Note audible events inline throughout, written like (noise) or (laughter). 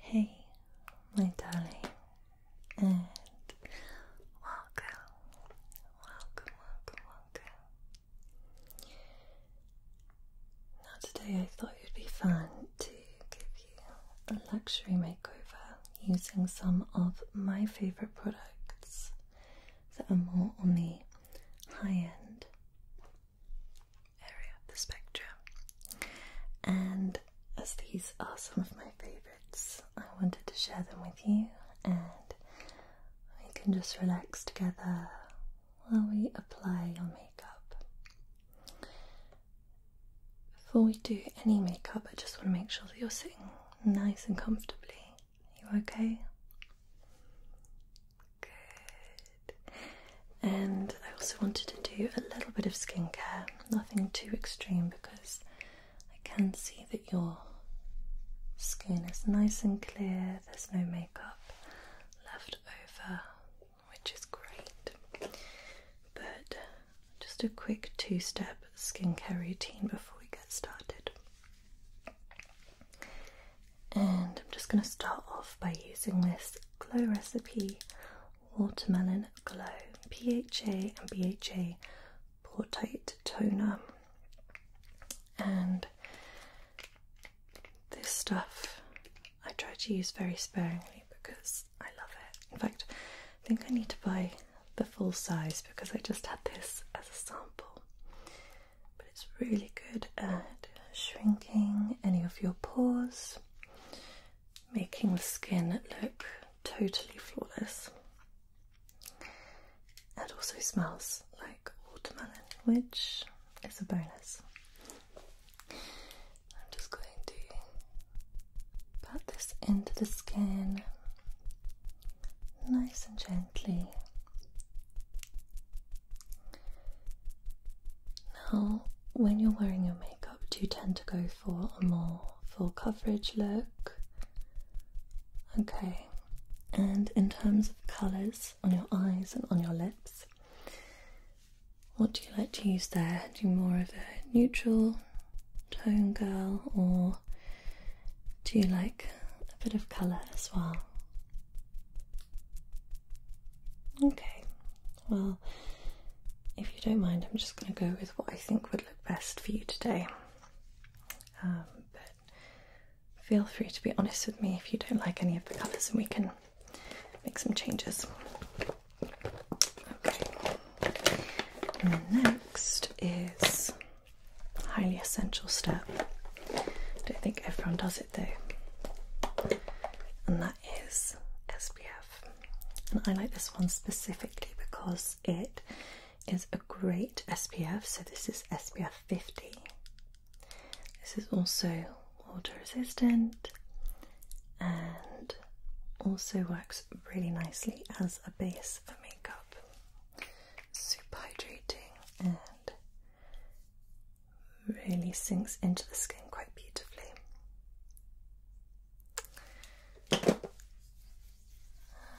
Hey, my darling, and welcome, welcome, welcome, welcome. Now, today I thought it would be fun to give you a luxury makeover using some of my favorite products that are more on the high end area of the spectrum. And as these are some of my favourites, I wanted to share them with you, and we can just relax together while we apply your makeup. Before we do any makeup, I just want to make sure that you're sitting nice and comfortably. Are you okay? Good. And I also wanted to do a little bit of skincare, nothing too extreme because I can see that your skin is nice and clear, there's no makeup left over, which is great. But just a quick two step skincare routine before we get started. And I'm just going to start off by using this Glow Recipe Watermelon Glow PHA and BHA Portite Toner. And this stuff I try to use very sparingly because I love it. In fact, I think I need to buy the full size because I just had this as a sample but it's really good at shrinking any of your pores, making the skin look totally flawless. It also smells like watermelon, which is a bonus. I'm just going to pat this into the skin nice and gently now, when you're wearing your makeup, do you tend to go for a more full coverage look? Okay, and in terms of colours on your eyes and on your lips, what do you like to use there? Do you more of a neutral tone girl or do you like a bit of colour as well? Okay, well, if you don't mind, I'm just going to go with what I think would look best for you today. Um, but feel free to be honest with me if you don't like any of the colours and we can make some changes. Okay, next is highly essential step. I don't think everyone does it though. And that is SPF. And I like this one specifically because it is a great SPF. So this is SPF 50. This is also water resistant and also works really nicely as a base for makeup super hydrating and really sinks into the skin quite beautifully.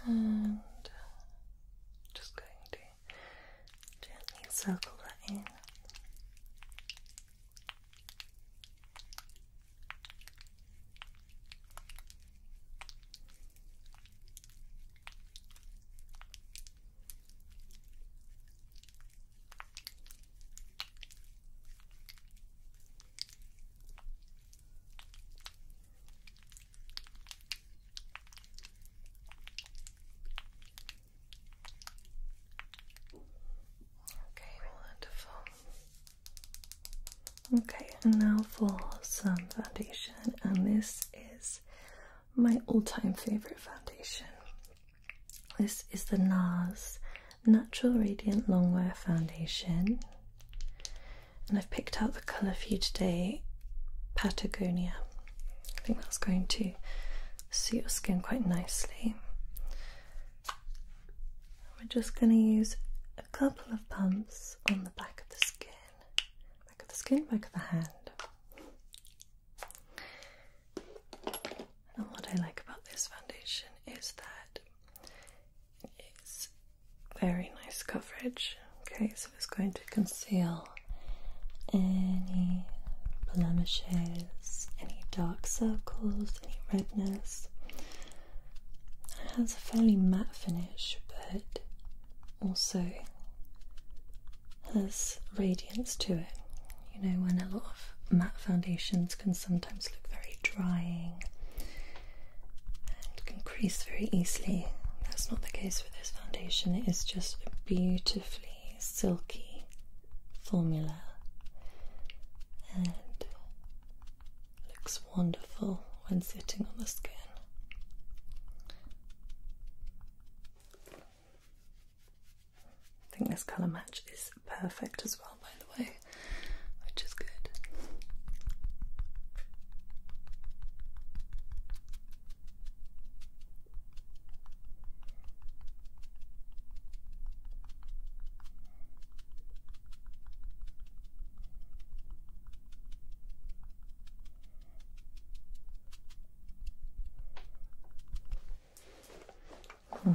And just going to gently circle that in. Okay, wonderful. Okay, and now for some foundation, and this is my all-time favorite foundation. This is the NARS Natural Radiant Longwear Foundation. And I've picked out the colour for you today, Patagonia. I think that's going to suit your skin quite nicely. We're just going to use a couple of pumps on the back of the skin back of the skin, back of the hand. And what I like about this foundation is that it's very nice coverage. Okay, so it's going to conceal any blemishes, any dark circles, any redness. It has a fairly matte finish, but also has radiance to it. You know, when a lot of matte foundations can sometimes look very drying and can crease very easily, that's not the case with this foundation. It is just a beautifully silky formula and looks wonderful when sitting on the skin. I think this colour match is perfect as well, by the way, which is good. Hmm.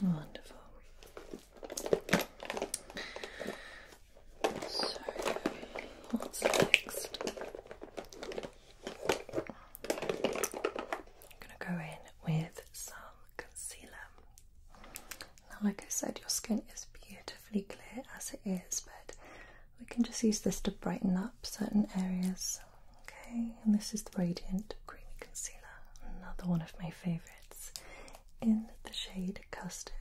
wonderful. So, what's next? I'm going to go in with some concealer. Now, like I said, your skin is beautifully clear as it is, but we can just use this to brighten up certain areas. Okay, and this is the Radiant Creamy Concealer, another one of my favorites in the shade Custard.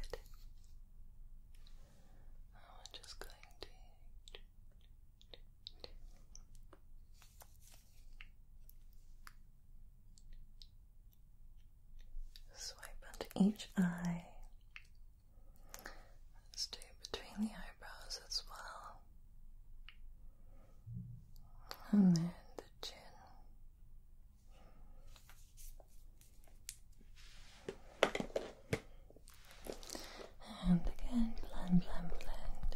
I'm just going to. Swipe under each eye. Let's between the eyebrows as well. And then the chin. And again, blend, blend, blend.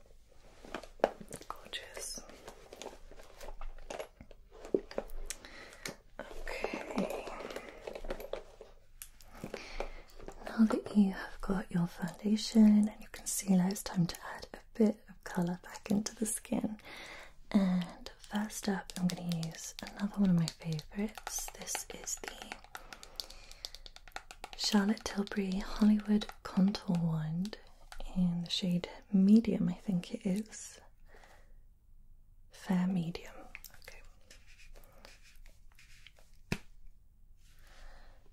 Gorgeous. Okay. Now that you have got your foundation and you can see, now it's time to add a bit of colour back into the skin. And first up, I'm going to use another one of my favourites. This is the Charlotte Tilbury Hollywood Contour Wand in the shade medium, I think it is. Fair medium, okay.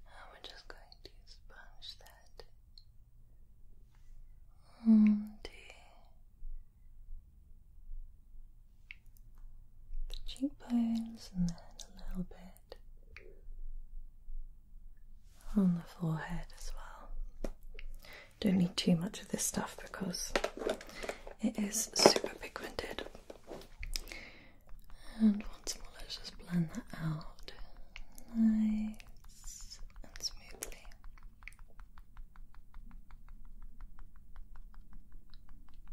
And we're just going to sponge that on the cheekbones and then a little bit on the forehead as well. Don't need too much of this stuff because it is super pigmented. And once more, let's just blend that out nice and smoothly.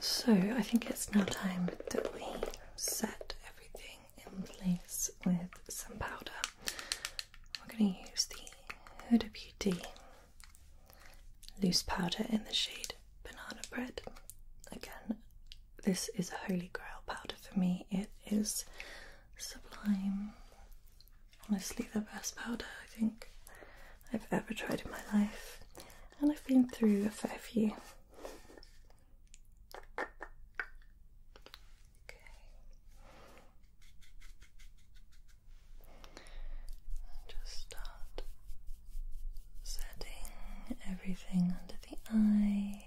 So I think it's now time that we set everything in place with some powder. We're going to use the Huda Beauty loose powder in the shade Banana Bread. Again, this is a holy grail powder for me. It is sublime. Honestly, the best powder I think I've ever tried in my life. And I've been through a fair few. Okay. Just start setting everything under the eye.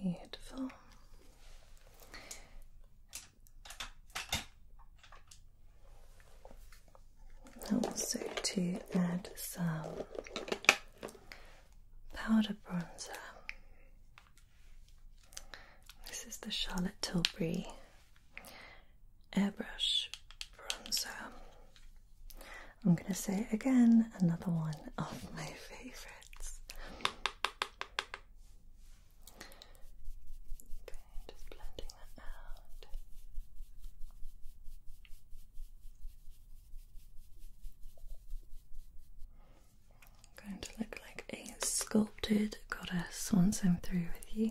Beautiful. Also, to add some powder bronzer. This is the Charlotte Tilbury airbrush bronzer. I'm going to say again another one of my favorites. Okay, just blending that out. going to look like a sculpted goddess once I'm through with you.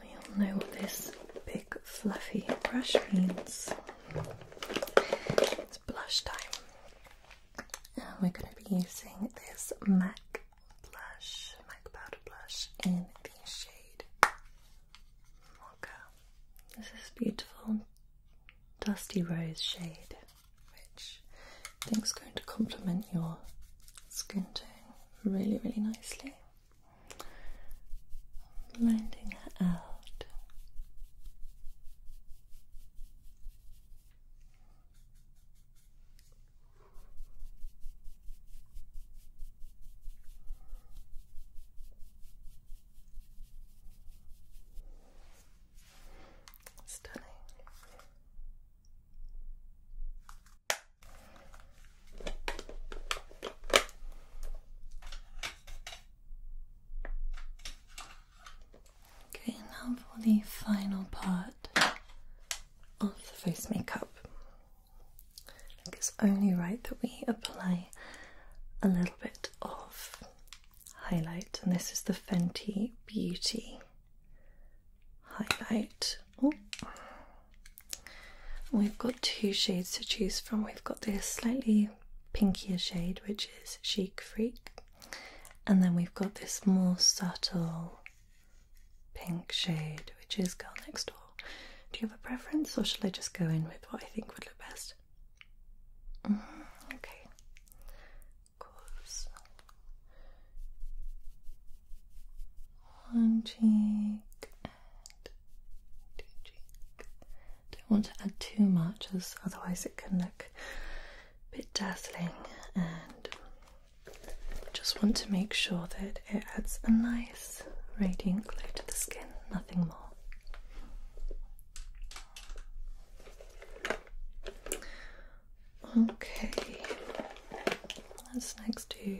We all know what this big fluffy brush means. It's blush time. And we're going to be using this MAC blush, MAC powder blush in the shade Mocha. This is beautiful dusty rose shade, which I think is going to complement your skin tone really, really nicely blending it out. Stunning. Okay, now for the final part of the face makeup. It's only right that we apply a little bit of highlight, and this is the Fenty Beauty highlight. We've got two shades to choose from. We've got this slightly pinkier shade, which is Chic Freak, and then we've got this more subtle pink shade, which is Girl Next Door. Do you have a preference, or shall I just go in with what I think would look best? Mm, okay, of One cheek and Don't want to add too much, as otherwise it can look a bit dazzling. And just want to make sure that it adds a nice radiant glow to the skin, nothing more. Okay, let's next do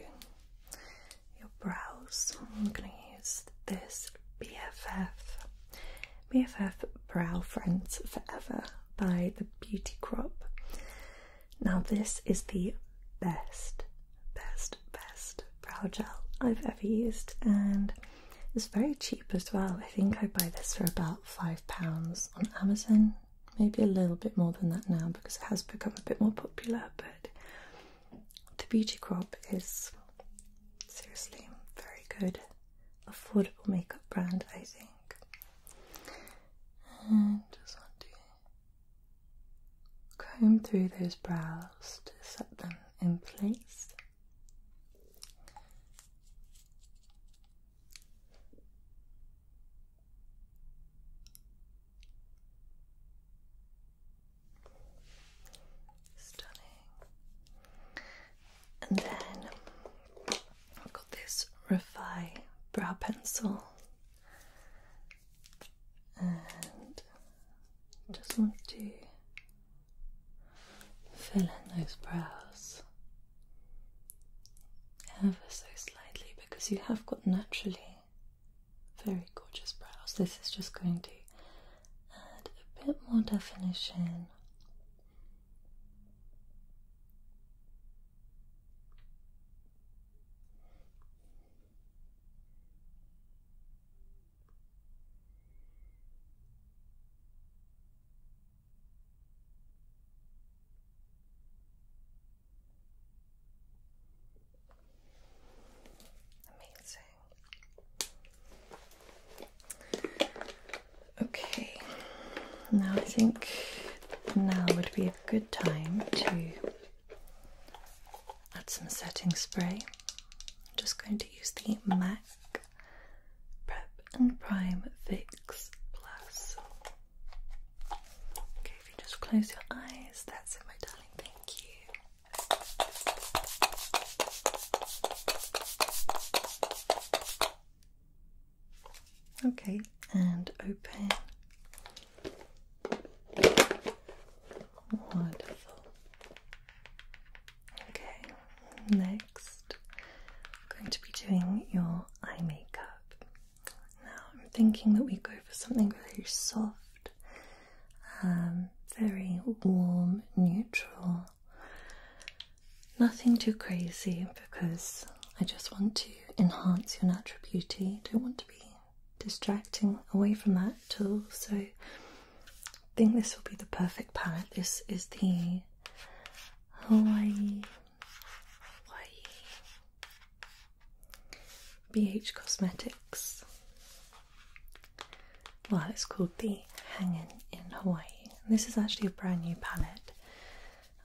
your brows. I'm going to use this BFF, BFF Brow Friends Forever by the Beauty Crop. Now this is the best, best, best brow gel I've ever used and it's very cheap as well. I think I buy this for about £5 on Amazon maybe a little bit more than that now because it has become a bit more popular. But the Beauty Crop is seriously very good, affordable makeup brand, I think. just want to comb through those brows to set them in place. Stunning. And then I've got this Refi brow pencil. And just want to fill in those brows ever so slightly because you have got naturally very gorgeous brows. This is just going to add a bit more definition. Amazing. Okay, now I think now would be a good time to add some setting spray. I'm just going to use the MAC Prep and Prime Fix Plus. Okay, if you just close your eyes, that's my darling. Thank you. Okay, and open. Wonderful. Okay, next I'm going to be doing your eye makeup. Now I'm thinking that we go for something very soft, um, very warm, neutral. Nothing too crazy because I just want to enhance your natural beauty. Don't want to be distracting away from that at all. So I think this will be the perfect palette. This is the Hawaii Hawaii. BH Cosmetics. Well, it's called the Hanging in Hawaii. this is actually a brand new palette.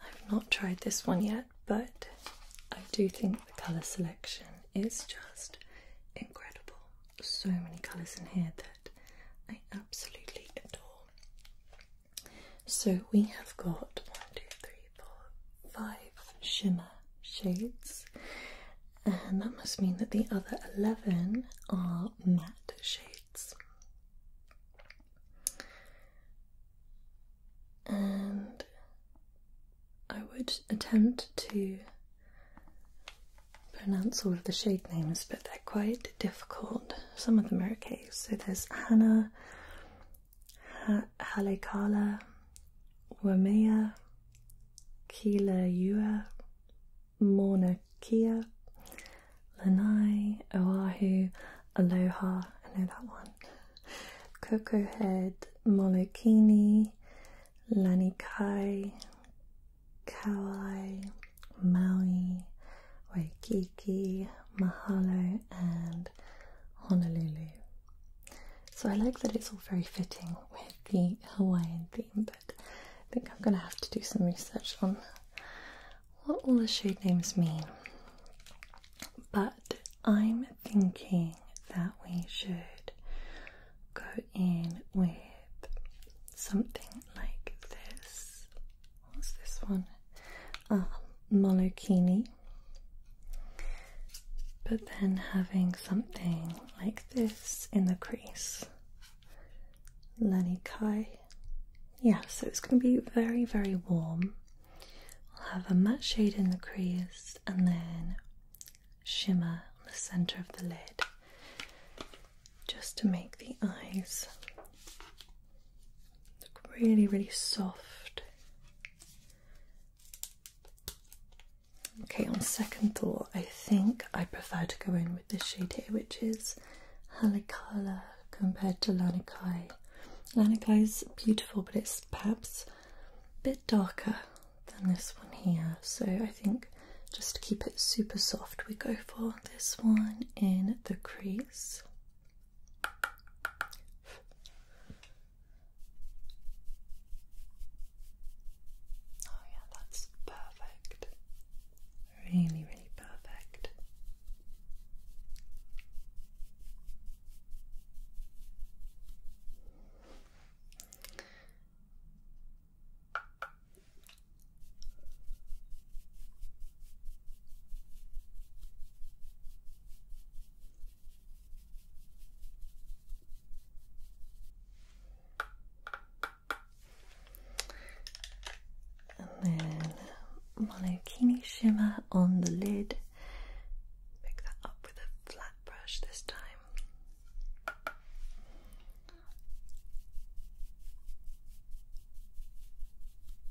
I've not tried this one yet, but I do think the colour selection is just incredible. So many colours in here that I absolutely adore. So we have got one, two, three, four, five shimmer shades, and that must mean that the other 11 are matte shades. And I would attempt to pronounce all of the shade names, but they're quite difficult. Some of them are okay. So there's Hannah, Halekala, Wamea, Kila Ua, Mauna Kea, Lanai, Oahu, Aloha, I know that one, Cocoa Head, Molokini, Lanikai, Kauai, Maui, Waikiki, Mahalo, and Honolulu. So I like that it's all very fitting with the Hawaiian theme, but I think I'm gonna have to do some research on what all the shade names mean. But I'm thinking that we should go in with something like this what's this one? Um, Molokini. But then having something like this in the crease. Lenny Kai. Yeah, so it's going to be very, very warm. I'll have a matte shade in the crease and then shimmer on the centre of the lid just to make the eyes Look really, really soft. Okay, on second thought, I think I prefer to go in with this shade here, which is Halikala compared to Lanikai. Lanikai is beautiful, but it's perhaps a bit darker than this one here. So I think just to keep it super soft, we go for this one in the crease. Oh, yeah, that's perfect. Really, really perfect. And then monokini shimmer on the lid. Pick that up with a flat brush this time.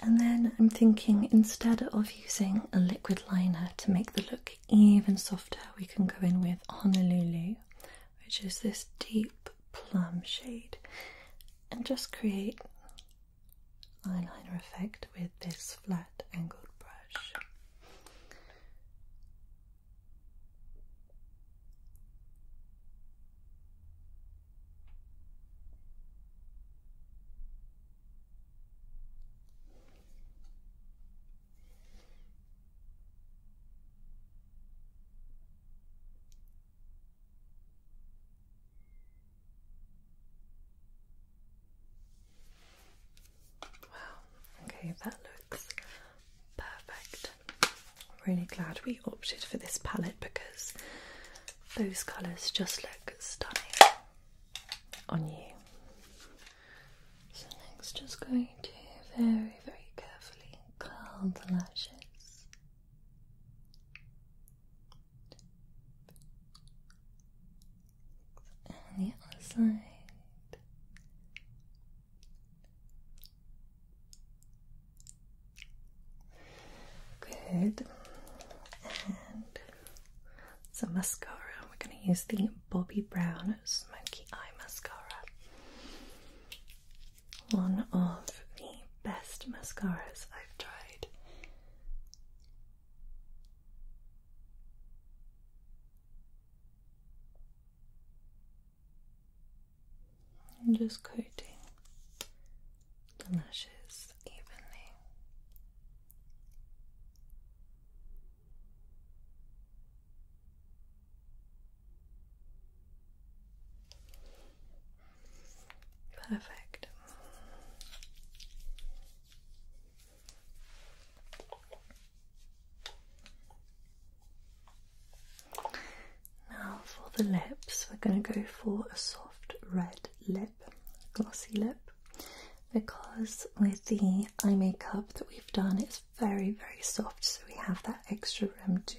And then I'm thinking instead of using a liquid liner to make the look even softer, we can go in with Honolulu, which is this deep plum shade, and just create eyeliner effect with this flat angled brush. Wow, okay, that looks perfect. I'm really glad we opted for this palette because those colours just look stunning on you. So, next, just going to very, very carefully curl the lashes. And the other side. Good. And some mascara. We're going to use the Bobbi Brown Smoky Eye Mascara. One of the best mascaras I've tried. I'm just coating the lashes evenly. Perfect. Now for the lips, we're going to go for a soft red lip, glossy lip, because with the eye makeup that we've done, it's very, very soft, so we have that extra room to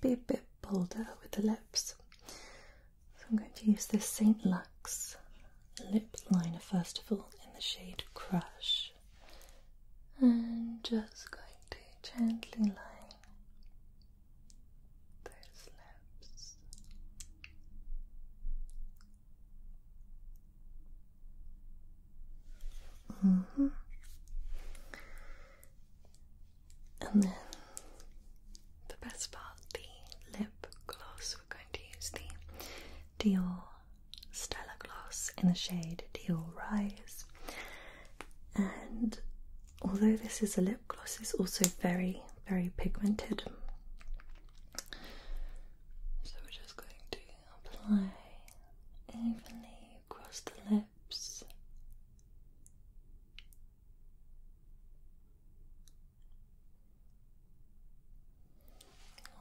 be a bit bolder with the lips. So I'm going to use this St. Lux lip liner first of all in the shade Crush and just going to gently line those lips. -hmm. And then the best part, the lip gloss. We're going to use the Dior Stella Gloss in the shade Dior Rise. And although this is a lip gloss, it's also very, very pigmented. So we're just going to apply evenly across the lips.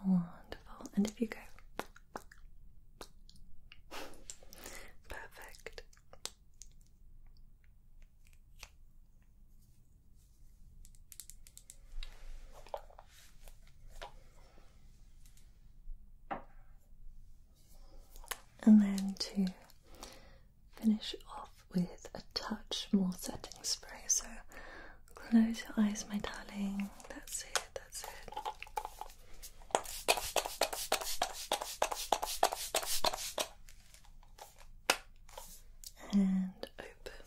Wonderful. And if you go. (laughs) Perfect. And then to finish off with a touch more setting spray. So close your eyes, my darling. That's it, that's it and open.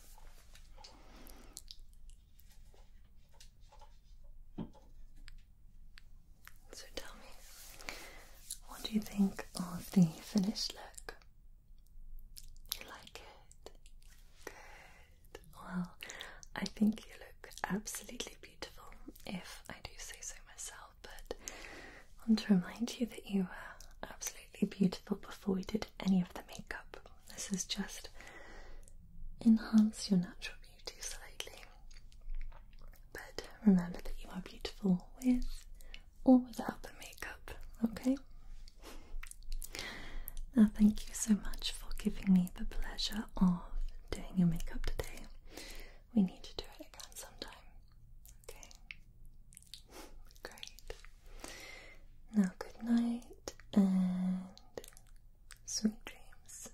So tell me, what do you think of the finished look? You like it? Good. Well, I think you look absolutely beautiful beautiful, if I do say so myself, but I want to remind you that you were absolutely beautiful before we did any of the makeup. This is just enhance your natural beauty slightly. But remember that you are beautiful with or without the makeup, okay? Now, thank you so much for giving me the pleasure of doing your makeup today we need to do it again sometime. Okay? (laughs) Great. Now, good night and sweet dreams.